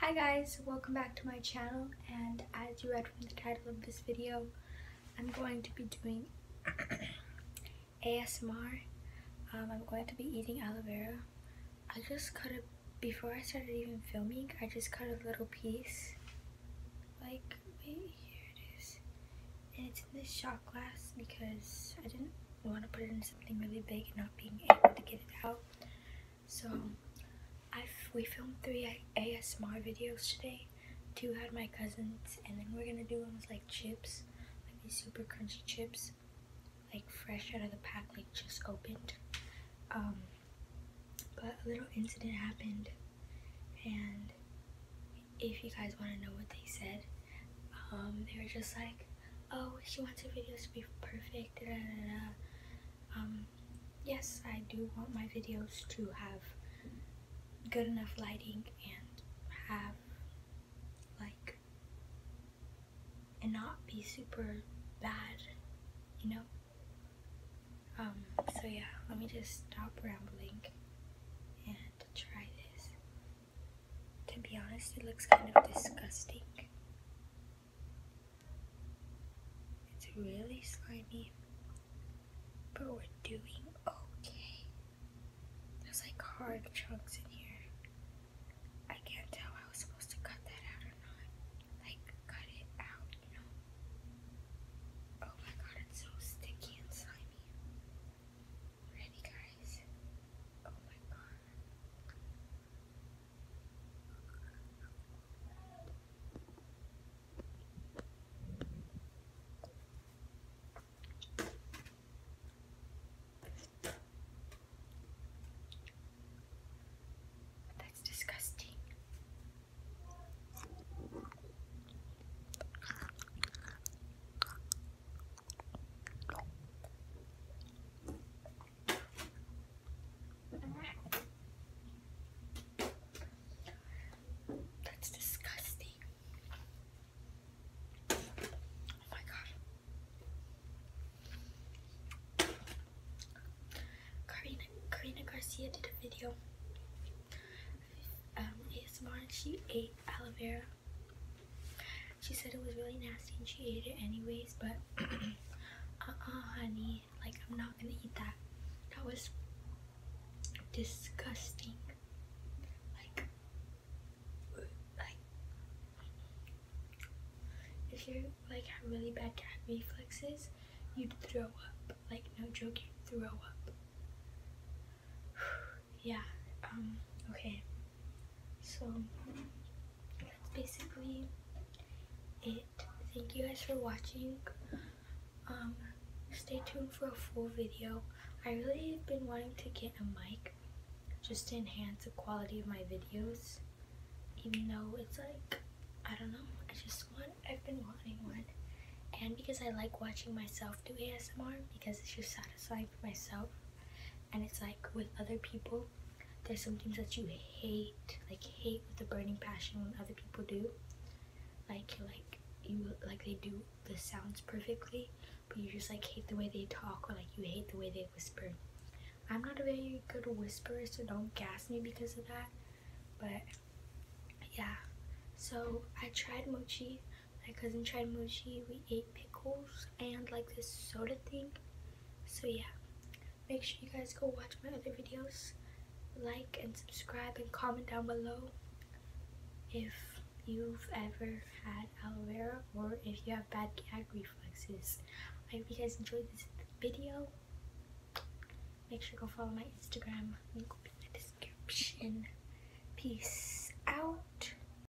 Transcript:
Hi guys, welcome back to my channel and as you read from the title of this video, I'm going to be doing ASMR. Um, I'm going to be eating aloe vera. I just cut it before I started even filming, I just cut a little piece. Like, wait, here it is. And it's in this shot glass because I didn't want to put it in something really big and not being able to get it out. So I we filmed three ASMR videos today. Two had my cousins, and then we're gonna do ones like chips, like super crunchy chips, like fresh out of the pack, like just opened. Um, but a little incident happened, and if you guys want to know what they said, um, they were just like, oh, she wants her videos to be perfect. um, yes, I do want my videos to have good enough lighting and have like and not be super bad, you know. Um, so yeah, let me just stop rambling and try this. To be honest, it looks kind of disgusting. It's really slimy, but we're doing okay. There's like hard chunks in here. I can't tell I was supposed to cut that out or not. Like, cut it out, you know? Oh my god, it's so sticky and slimy. Ready, guys? Oh my god. That's disgusting. That's disgusting. Oh my god. Karina, Karina Garcia did a video um, ASMR and she ate aloe vera she said it was really nasty and she ate it anyways, but uh-uh, honey. Like, I'm not gonna eat that. That was disgusting. Like, like, if you like have really bad cat reflexes, you'd throw up. Like, no joke, you throw up. yeah, um, okay. So that's basically it. Thank you guys for watching. Um, stay tuned for a full video. I really have been wanting to get a mic just to enhance the quality of my videos. Even though it's like, I don't know, I just want, I've been wanting one. And because I like watching myself do ASMR because it's just satisfying myself and it's like with other people there's some things that you hate like hate with a burning passion when other people do like like you like they do the sounds perfectly but you just like hate the way they talk or like you hate the way they whisper i'm not a very good whisperer so don't gas me because of that but yeah so i tried mochi my cousin tried mochi we ate pickles and like this soda thing. So yeah, make sure you guys go watch my other videos. Like and subscribe and comment down below if you've ever had aloe vera or if you have bad gag reflexes. I hope you guys enjoyed this video. Make sure you go follow my Instagram. Link in the description. Peace out.